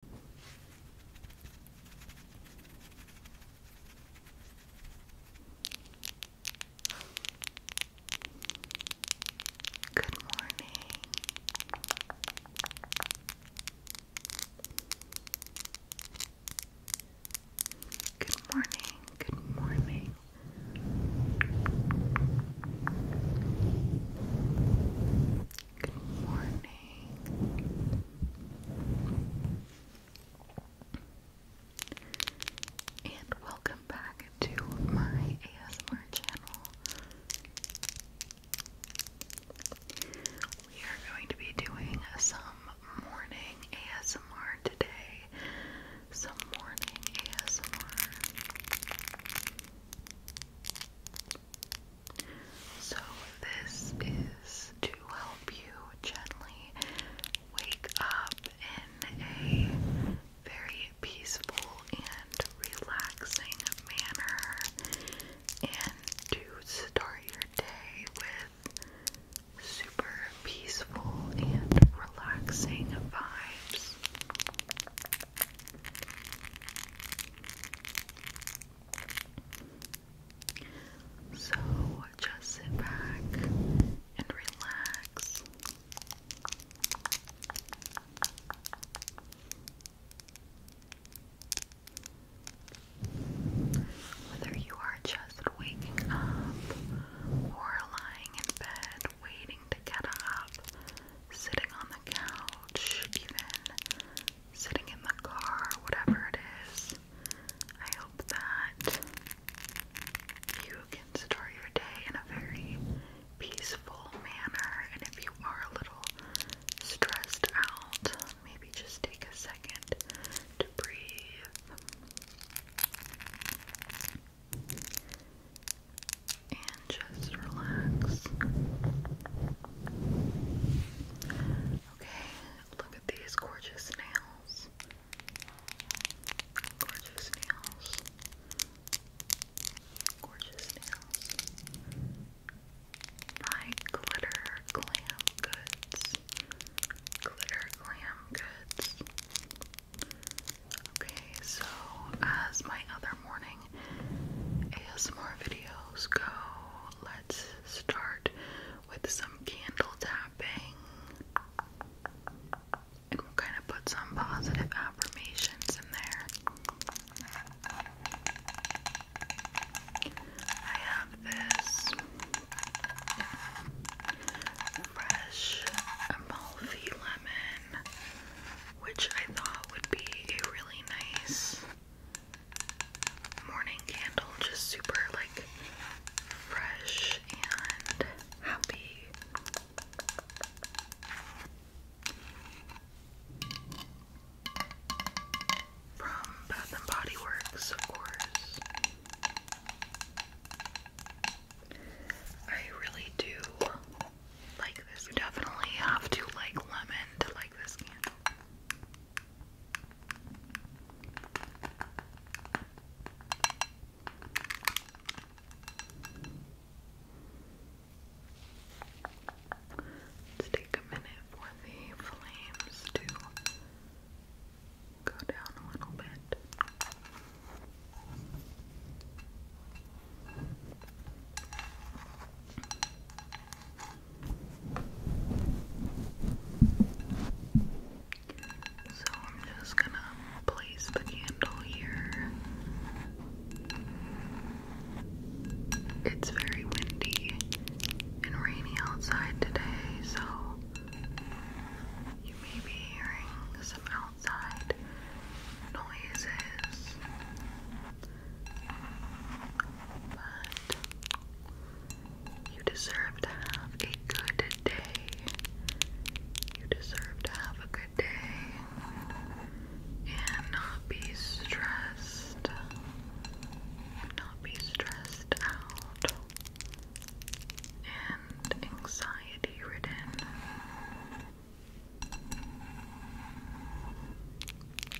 Good morning. Good morning. Good morning. Good morning. And welcome back to my ASMR channel. We are going to be doing some morning ASMR today. Some morning ASMR. So, this is to help you gently wake up in a very peaceful and relaxing manner and to start your day with super peaceful and relaxing vibes. So just sit back and relax. Whether you are just waking up or lying in bed waiting to get up, sitting on the couch, even sitting in the car, whatever it is. I hope that you can start your day in a very peaceful manner. And if you are a little stressed out, maybe just take a second to breathe and just relax. Okay, look at these gorgeous nails. Gorgeous nails. Gorgeous nails. By Glitter Glam Goods. Glitter Glam Goods. Okay, so as my other morning more videos go, let's start with some candle tapping. And we'll kind of put some positive affirmations in there. I have this fresh Amalfi lemon which I thought would be a really nice morning candle, just super like fresh and happy. From Bath and Body Works, of course. I really do you definitely have to like lemon to like this candle. Let's take a minute for the flames to go down a little bit. So I'm just gonna place the candle here. It's very windy and rainy outside today, so you may be hearing some noises. But you deserve to have a good day. You deserve to have a good day and not be stressed. Not be stressed out and anxiety ridden.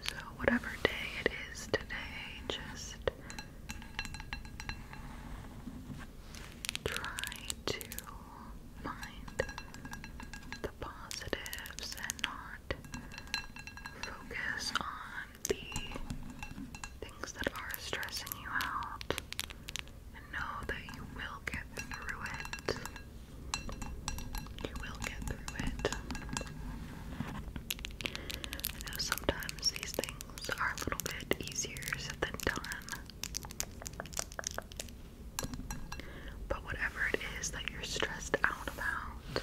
So, whatever day it is today, just try to mind the positives and not focus on the things that are stressing you out know that you will get through it. You will get through it. I know sometimes these things are a little bit easier said than done. But whatever it is that you're stressed out about,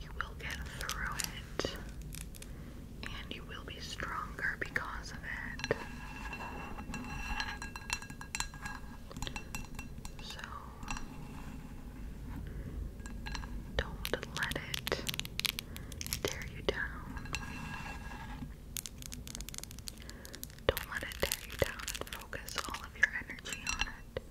you will get through it. And you will be stronger because of it. So don't let it tear you down. Don't let it tear you down focus all of your energy on it.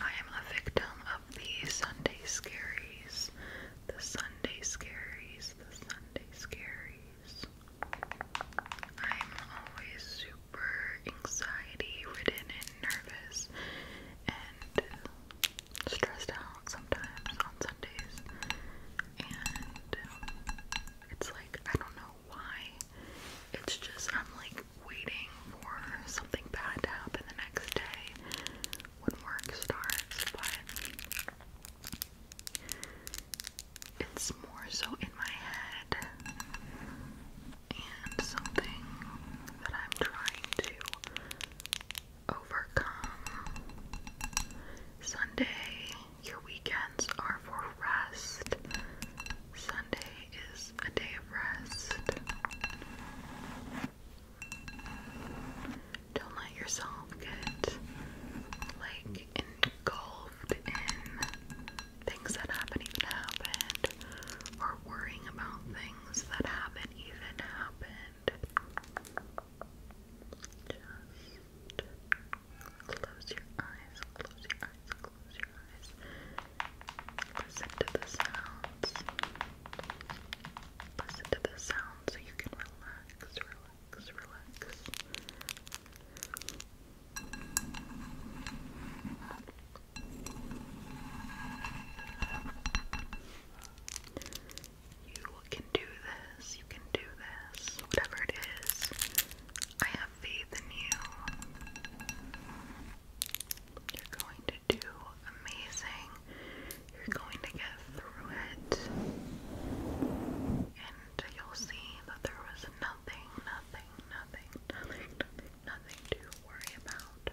I am a victim of the Sunday scaries. The Sunday scaries. The Sunday scaries. I'm always super anxiety ridden and nervous and stressed out sometimes on Sundays. And it's like, I don't know why. It's just I'm like waiting for something bad to happen the next day when work starts, but it's more so in my head and something that I'm trying to overcome. Sunday, your weekend, are for rest. Sunday is a day of rest. Don't let yourself get like engulfed in things that haven't even happened or worrying about things that haven't even happened. Just Close your eyes, close your eyes, close your eyes. Listen to the sounds. Listen to the sounds so you can relax, relax, relax. You can do this, you can do this, whatever it is. I have have faith in you. are going to do amazing. You're going to get through it. And you'll see that there was nothing, nothing, nothing, nothing, nothing to worry about.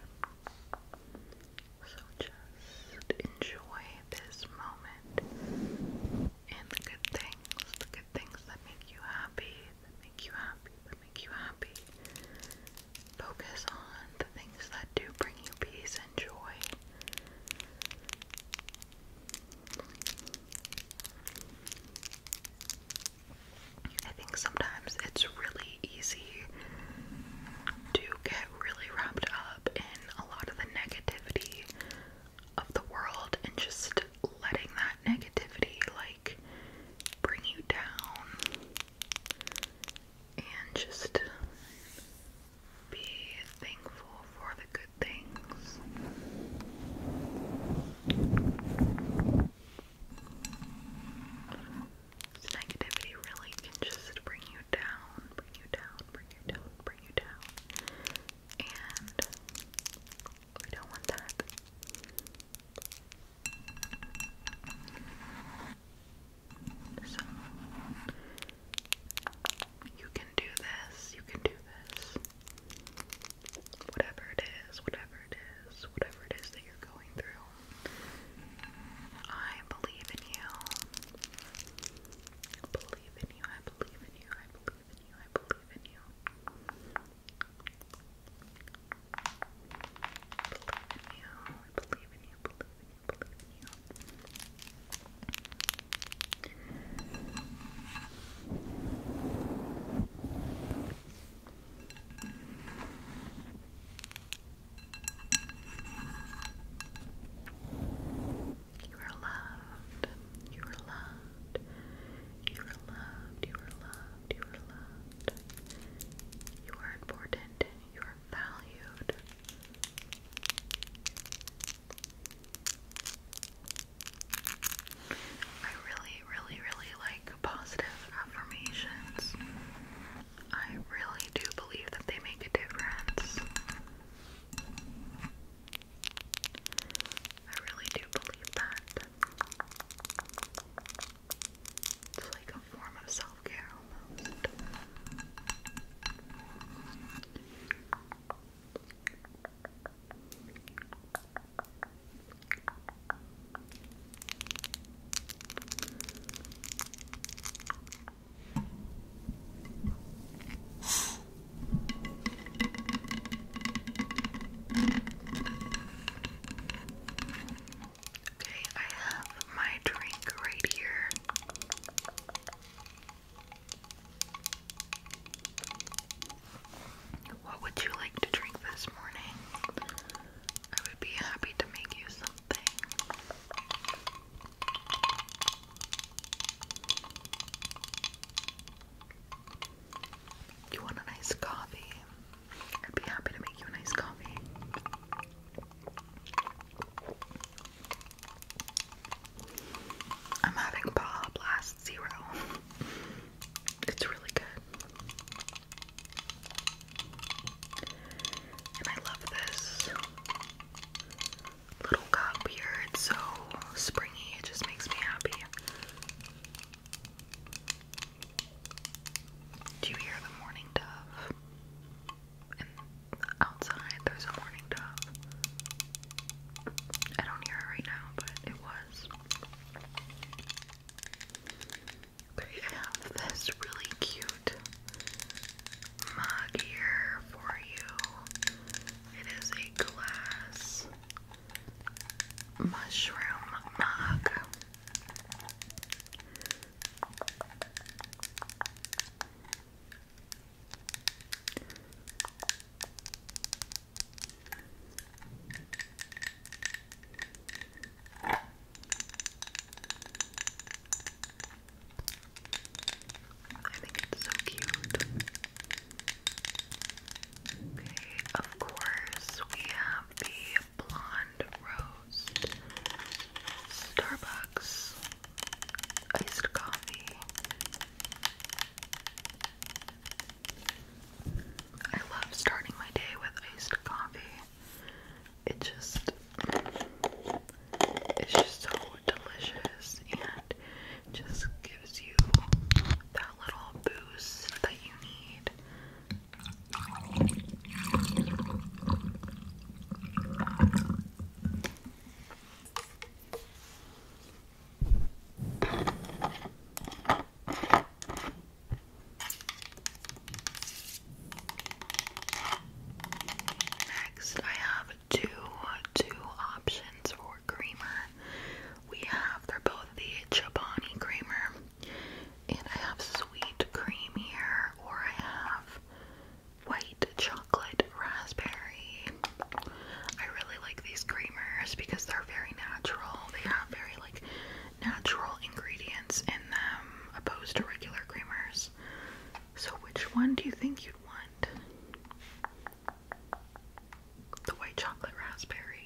So just enjoy this moment and the good things, the good things that make you happy, that make you happy, that make you happy. Focus on the things that do bring you peace and joy. I think sometimes it's really easy to get really wrapped up in a lot of the negativity of the world and just letting that negativity like bring you down and just be thankful for the good things. negativity really can just bring you down, bring you down, bring you down, bring you down. And we don't want that. So you can do this, you can do this. Whatever it is, whatever it is, whatever it is that you're going through. I believe in you. believe in you, I believe in you, believe in you. I believe in you. I believe in you. I believe in you. I believe in you. You are loved. You are loved. You are loved, you are loved, you are loved. You are important, you are valued. I really, really, really like positive affirmations. I really do believe that they make a difference. I really do believe that. It's like a form of self care Okay, I have my drink right here. What would you like to drink this morning? I would be happy to make you something. You want a nice coffee? I'd be happy to make you a nice coffee. I'm having Baja Blast Zero. It's really good. And I love this little cup here. It's so springy, it just makes me happy. Do you hear the morning dove? outside there's a morning dove. I don't hear it right now, but it was. Okay, I have this really cute mug here for you. It is a glass mushroom mug. I think it's so cute of course, we have the Blonde Rose, Starbucks, iced coffee. I love starting my day with iced coffee. It just, it's just so delicious and just gives you that little boost that you need. Next, I have two two options for creamer. We have, they're both the Chobani creamer. And I have sweet cream here, or I have white chocolate raspberry. I really like these creamers because they're very natural. They have very like natural ingredients in them opposed to regular creamers. So which one do you think you'd want? the white chocolate raspberry.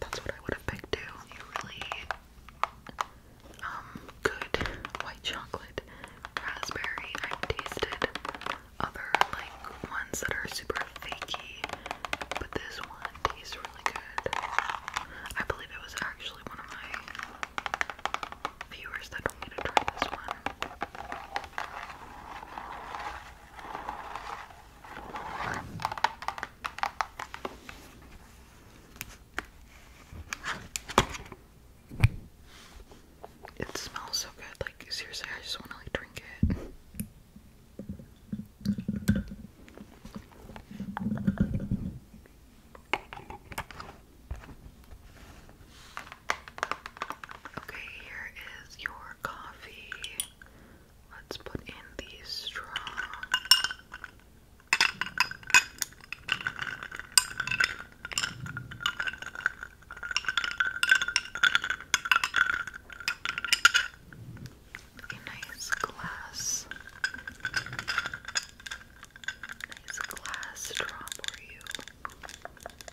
That's what I would have picked too. really um, good white chocolate raspberry. I've tasted other like ones that are super fakey, but this one tastes really good. I believe it was actually one of my viewers that don't need to try this one. It smells so good, like seriously I just wanna like drink it. Okay, here is your coffee. Let's put in the straw. A nice glass, nice glass straw for you.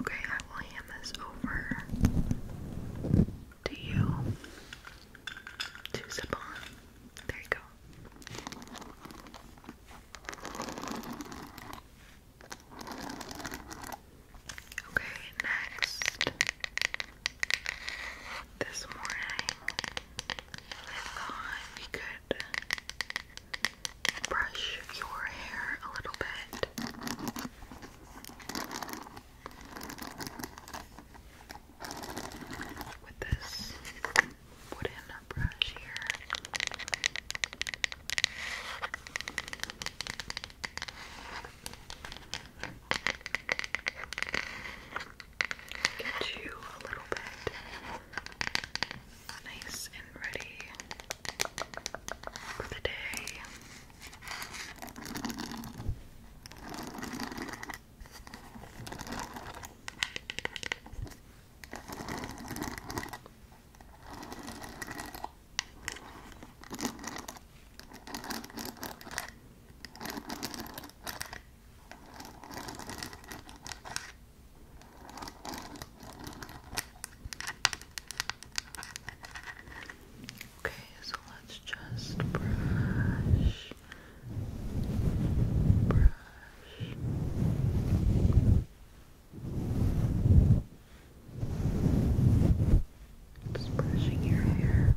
Okay, I will hand this over to you to sip on. There you go. Okay, next. This morning, we could brush your hair a little bit. With this wooden brush here. Get you a little bit nice and ready for the day. Okay, so let's just brush, brush. Just brushing your hair.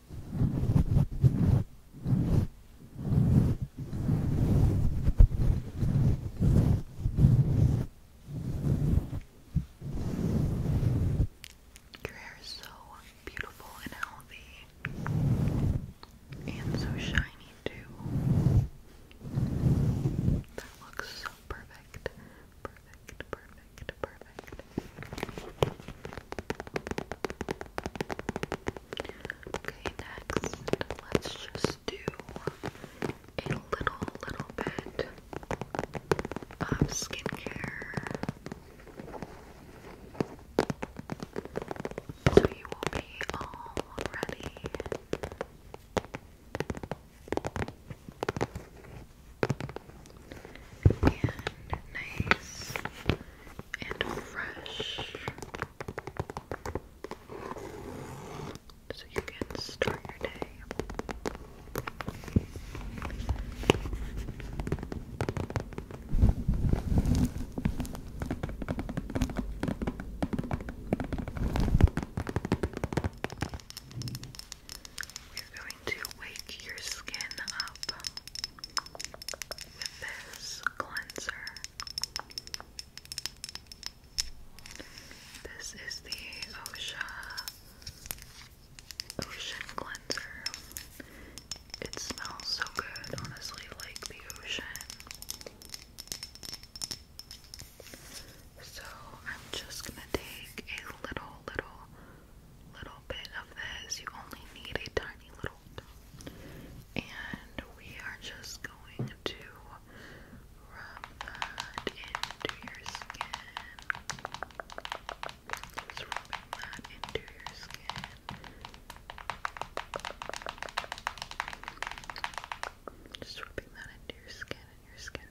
your hair is so beautiful and healthy, and so shiny too. That looks so perfect, perfect, perfect, perfect. Okay, next, let's just do a little, little bit of skincare. So you will be all ready. And nice and fresh. So you can start your day to wake your skin up with this cleanser. This is the OSHA Ocean Cleanser. It smells so good, honestly, like the ocean. So I'm just gonna take a little, little little bit of this. You only need a tiny little And we are just going to rub that into your skin. Just rubbing that into your skin. Just rubbing that into your skin your skin.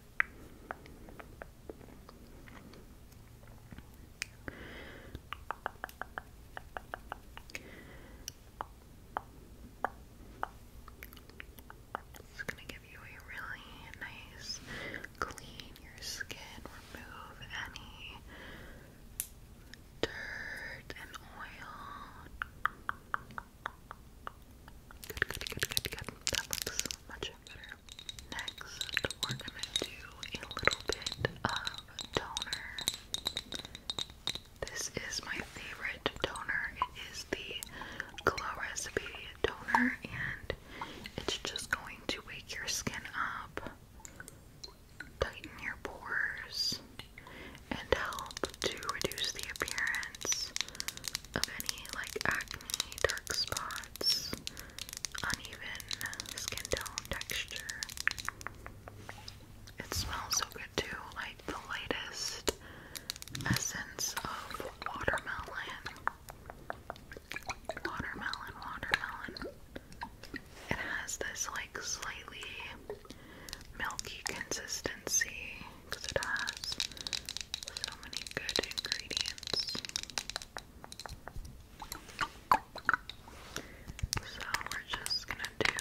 It's going to give you a really nice clean your skin, remove any dirt and oil. Good, good, good, good, good. That looks much better. Next, we're gonna do a little bit of toner. This is my favorite toner. It is the Glow Recipe toner, and it's just going to wake your skin up, tighten your pores, and help to reduce the appearance of any like acne, dark spots spots, uneven skin tone texture. It smells so good too, like the lightest essence of watermelon. Watermelon, watermelon. It has this like slightly milky consistency because it has so many good ingredients. So we're just gonna do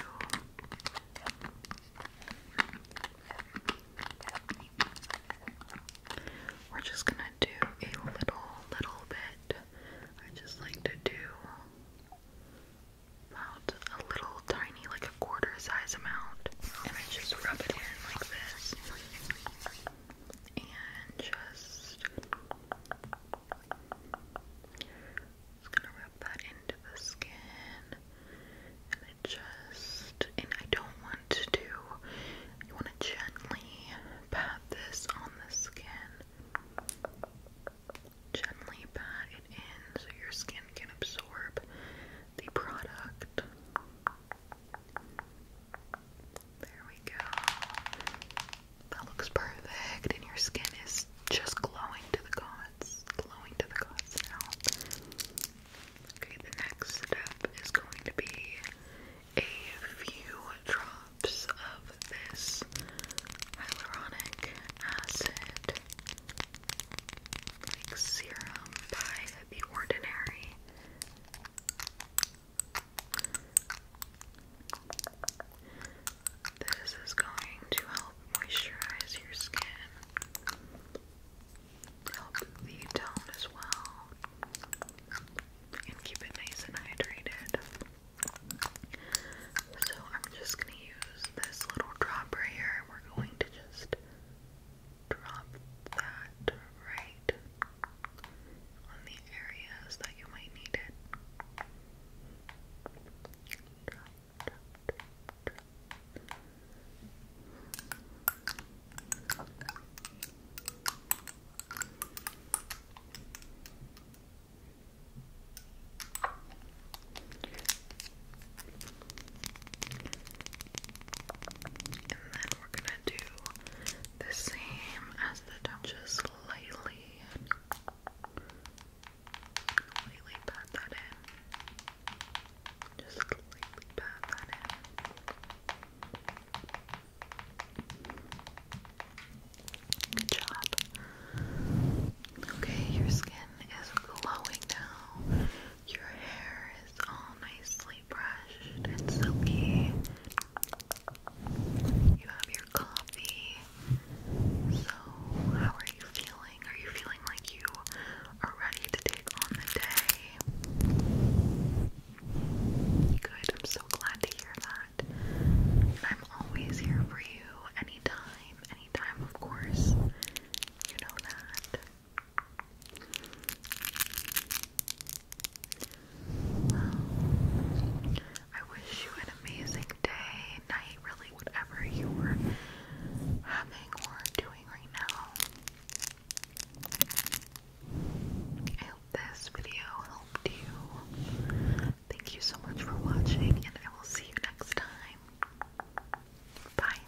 we're just gonna do a little little bit. I just like to do about a little tiny, like a quarter size amount, and I just rub it in like this and just, just gonna rub that into the skin and just, and I don't want to do, you want to gently pat this on the skin gently pat it in so your skin can absorb the product there we go. That looks perfect, and your skin is just glowing to the gods. Glowing to the gods now. Okay, the next step is going to be a few drops of this hyaluronic acid serum by The Ordinary. This is going to help moisturize your skin, help the tone as well, and keep it nice and hydrated. So, I'm just going to use this little dropper here, and We're going to just drop that right on the areas that you might need it. And then we're gonna do the same as the top, just slightly, slightly pat that in, just slightly pat that in. Good job. Okay, your skin is glowing now. Your hair is all nicely you have your coffee. So, how are you feeling? Are you feeling like you are ready to take on the day? Good, I'm so glad to hear that. I'm always here for you anytime, anytime, of course. You know that. I wish you an amazing day, night, really, whatever you were having or doing right now. I hope this video helped you. Thank you so much for watching, and I will see you next time. Bye.